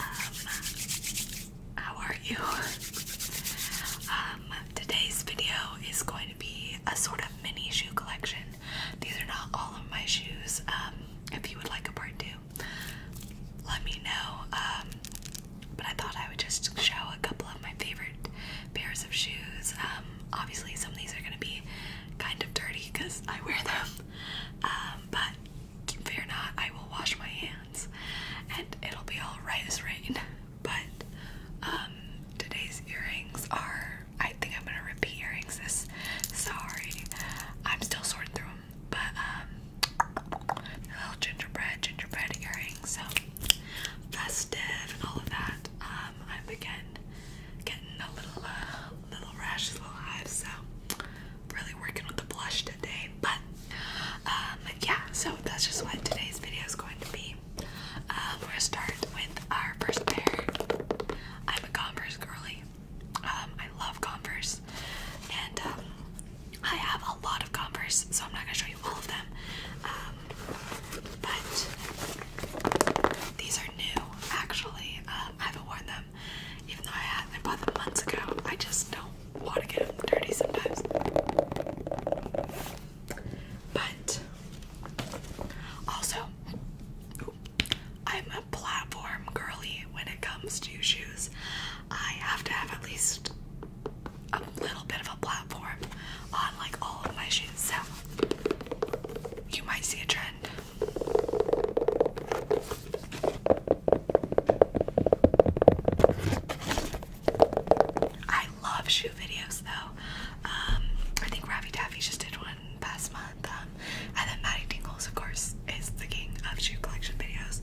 Um, how are you? Um, today's video is going to be a sort of mini shoe collection. These are not all of my shoes. Um, if you would like a part two, let me know. but I thought I would just show a couple of my favorite pairs of shoes. obviously, some of these are going to be kind of dirty because I wear them. but fear not, I will wash my hands and it'll be all right as rain. But um, today's earrings are, I think I'm gonna repeat earrings this. Sorry, I'm still sorting through them, but um, little gingerbread, gingerbread earrings, so festive and all of that. Um, I'm again getting a little, uh, little rash, little hives, so really working with the blush today, but um, yeah, so that's just what today's video is going to be. Um, we're going with our first pair. I'm a Converse girly. Um, I love Converse, and I have a lot of Converse, so I'm not gonna show you all of them. but these are new, actually. I haven't worn them even though I had them months ago. I just don't want to get them dirty sometimes. But also, I'm a platform girly when it comes to shoes. I have to have at least a little bit of a platform on like all of my shoes, so you might see a trend. I love shoe videos though. Um, I think Ravi Taffy just did one past month. Um, and then Maddie Dingles, of course, is the king of shoe collection videos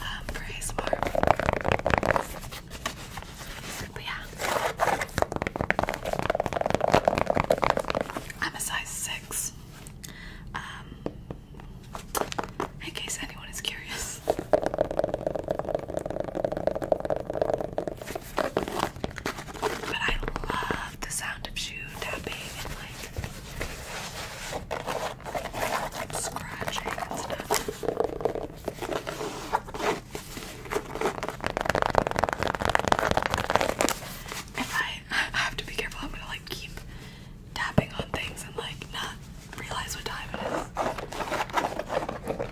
um, for ASMR. But yeah, I'm a size six in case anyone is curious. But I love the sound of shoe tapping and like scratching and stuff. If I, have to be careful, I'm gonna like keep tapping on things and like not realize what time it is.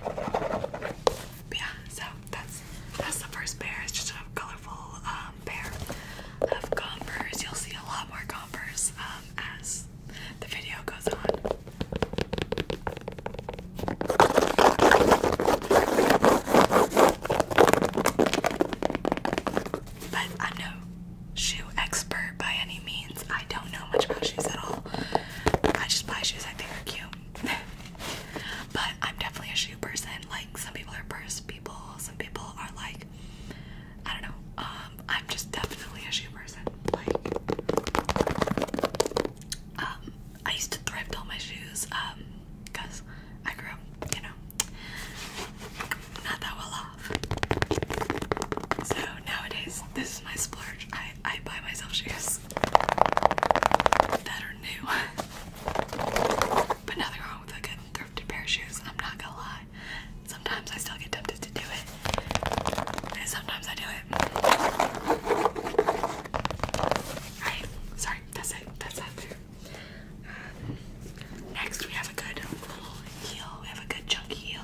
yeah, so that's that's the first pair. It's just a colorful um, of Converse. You'll see a lot more Converse um, as the video goes on but I'm no shoe expert by any means. I don't know much about shoes at all. I just buy shoes I think are cute. but I'm definitely a shoe person. Like some people are purse people, some people are like I don't know. Um, I'm just definitely a shoe person. Like um, I used to thrift all my shoes um, because I grew you know, not that well off. So nowadays, this is my splurge. I, I buy myself shoes that are new. but nothing wrong with a good thrifted pair of shoes, I'm not gonna lie. Sometimes I still get tempted to do it. And sometimes I do it. Alright, sorry, that's it. That's that there. Um, next, we have a good little heel. We have a good chunky heel.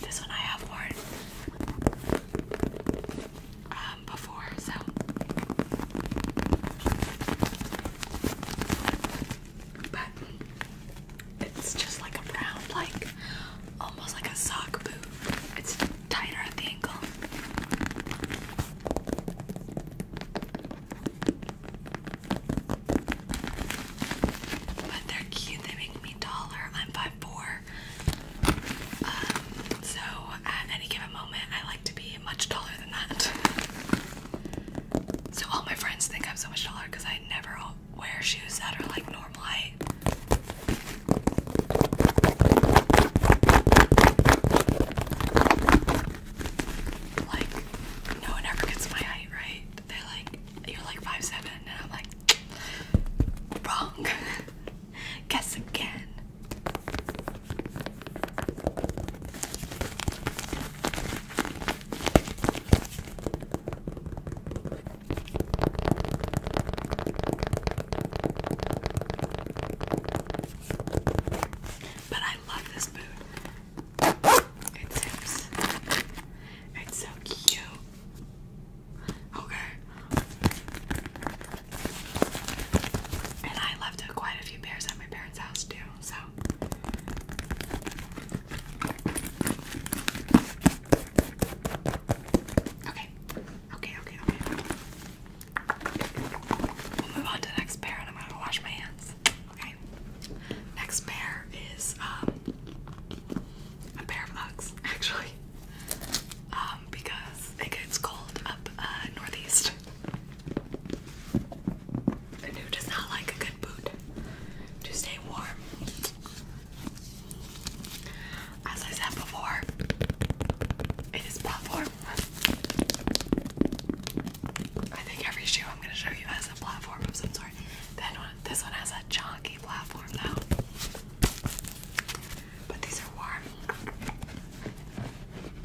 This one I have worn um, before, so. But it's just like a brown, like almost like a sock boot. It's tighter at the ankle. But they're cute, they make me taller. I'm 5'4. Um, so at any given moment, I like to be much taller than that. So all my friends think I'm so much taller because I never wear shoes that are like normal height. Like, no one ever gets my height right. they like, you're like 5'7", and I'm like, wrong. Guess again. But I love this boot. It zips. It's so cute. Okay. And I left quite a few pairs at my parents' house too, so. Okay. Okay, okay, okay. We'll move on to the next pair and I'm gonna wash my hands. Okay. Next pair is um a pair of Uggs, actually. Um, because it gets cold up uh northeast. And who does not like a good boot to stay warm? as I said before, it is platform. I think every shoe I'm gonna show you has a platform of some sort. this one has a chunky platform though. But these are warm.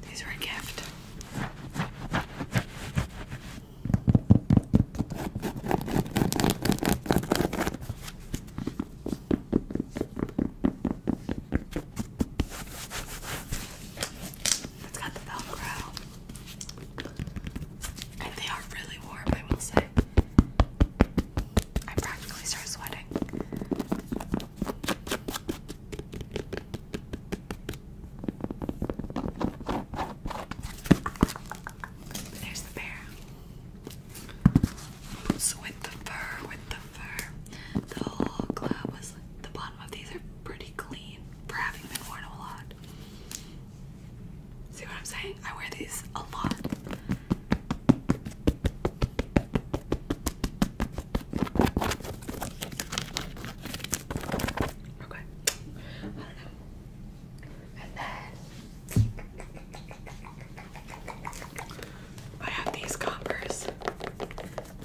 These are a gift. It's got the Velcro. And they are really warm, I will say. I practically start sweating. There's the bear. So with the fur, with the fur, the whole club was the bottom of these are pretty clean for having been worn a lot. See what I'm saying? I wear these a lot. Okay. I don't know. And then I have these coppers.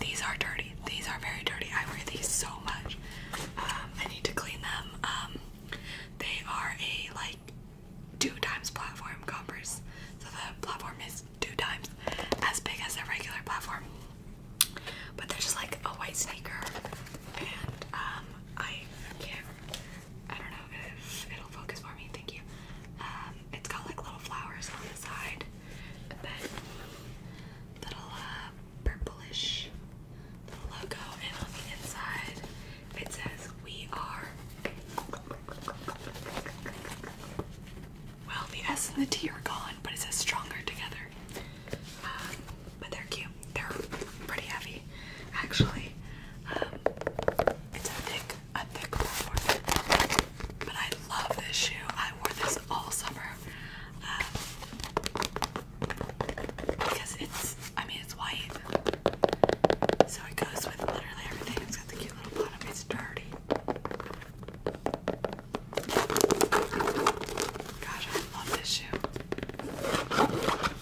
These are dirty. These are very dirty. I wear these so much. Um, I need to clean them. Um, they are a like two times platform coppers. So the platform is two times as big as a regular platform. But they're just like a white sneaker, and um, I can't I don't know if it'll focus for me. Thank you. Um, it's got like little flowers on the side, but little uh, purplish little logo, and on the inside it says "We are." Well, the S and the T are gone, but it says "Stronger Together." Um, but they're cute. They're pretty heavy, actually. Um, it's a thick, a thick platform. But I love this shoe. I wore this all summer. Um, because it's, I mean, it's white. So it goes with literally everything. It's got the cute little bottom. It's dirty. Gosh, I love this shoe.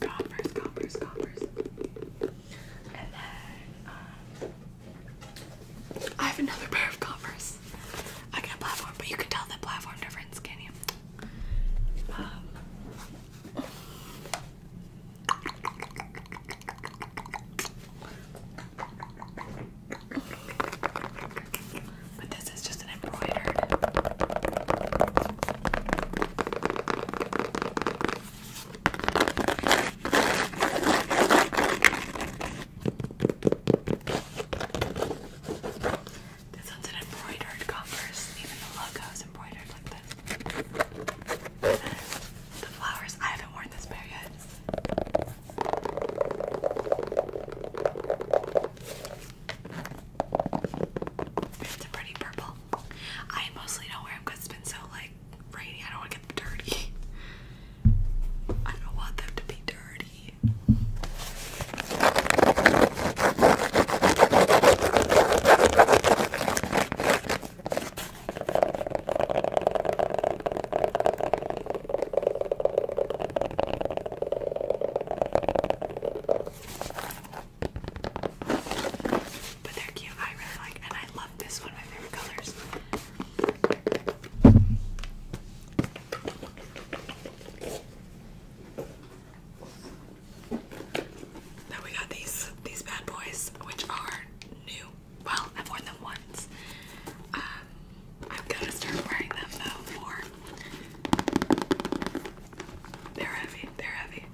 Coppers, coppers, coppers. And then, um, I have another pair of coppers. I got a platform, but you can tell the platform difference, can you? Um, this is just an embroidered. one's an embroidered Converse. Even the logo is embroidered like this. The flowers. I haven't worn this pair yet. It's a pretty purple. I mostly don't wear because it's been so like rainy. I don't want to get them dirty. I don't want them to be dirty. But they're cute. I really like, and I love this one. My favorite colors. Then we got these these bad boys, which are new. Well, I've worn them once. Um, I'm gonna start wearing them though more. They're heavy, they're heavy.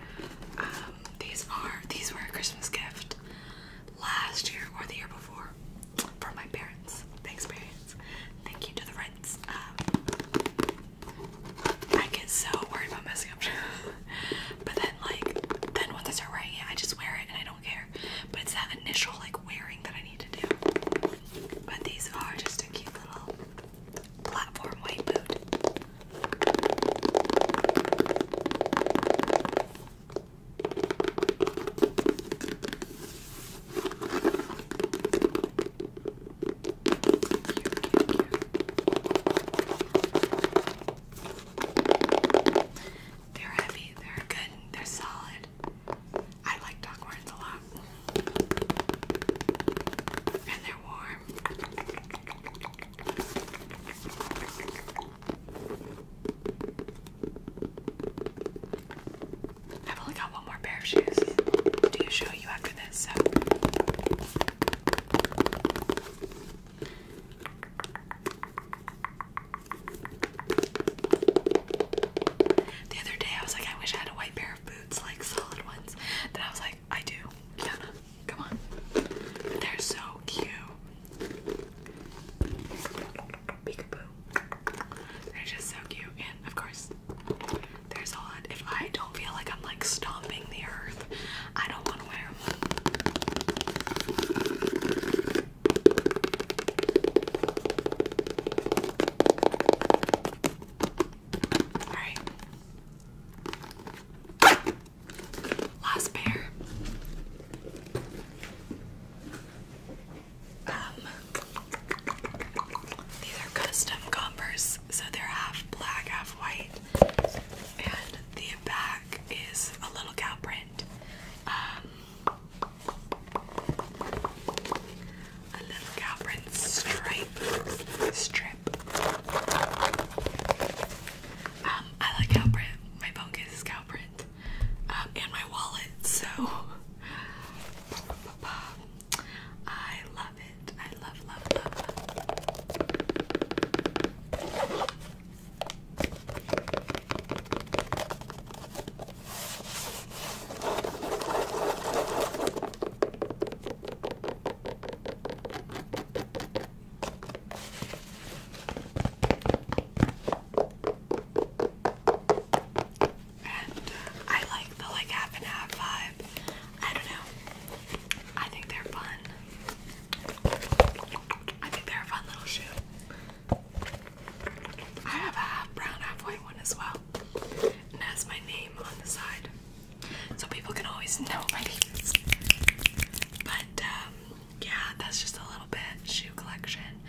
Um, these are these were a Christmas gift last year or the year before from my parents. Thanks parents. Thank you to the rents. Um, I get so worried about messing up. but then like then once I start wearing it I just wear it and I don't care. But it's that initial like wearing that I but these are just a cute little platform white boot. They're heavy, they're good, they're solid. I like Duckhorns a lot. And they're warm. I've only got one more pair of shoes to show you after this, the other day I was like, I wish I had a white pair of boots, like solid ones. Then I was like, I do. Kiana, come on. They're so cute. Peekaboo. They're just so cute. And of course, they're solid. If I don't feel like I'm like stomping the earth, I don't want to wear them. All right. Last pair. Um, these are custom Converse, so they're half black, half white, and the back is a little cow print. Um, a little Calprin stripe strip. Um, I like Calprin. My phone case is Calprin, um, and my wallet. So I love it. I love, love, love. And I like the like half and half vibe. I don't know. I think they're fun. I think they're a fun little shoe. I have a half brown, half white one as well. And that's my name on the side. So people can always know my name. But um, yeah, that's just a little bit shoe collection.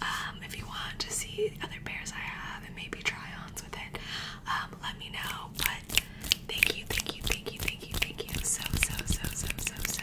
Um, if you want to see other pairs I have and maybe try-ons with it, um, let me know. But thank you, thank you, thank you, thank you, thank you so, so, so, so, so, so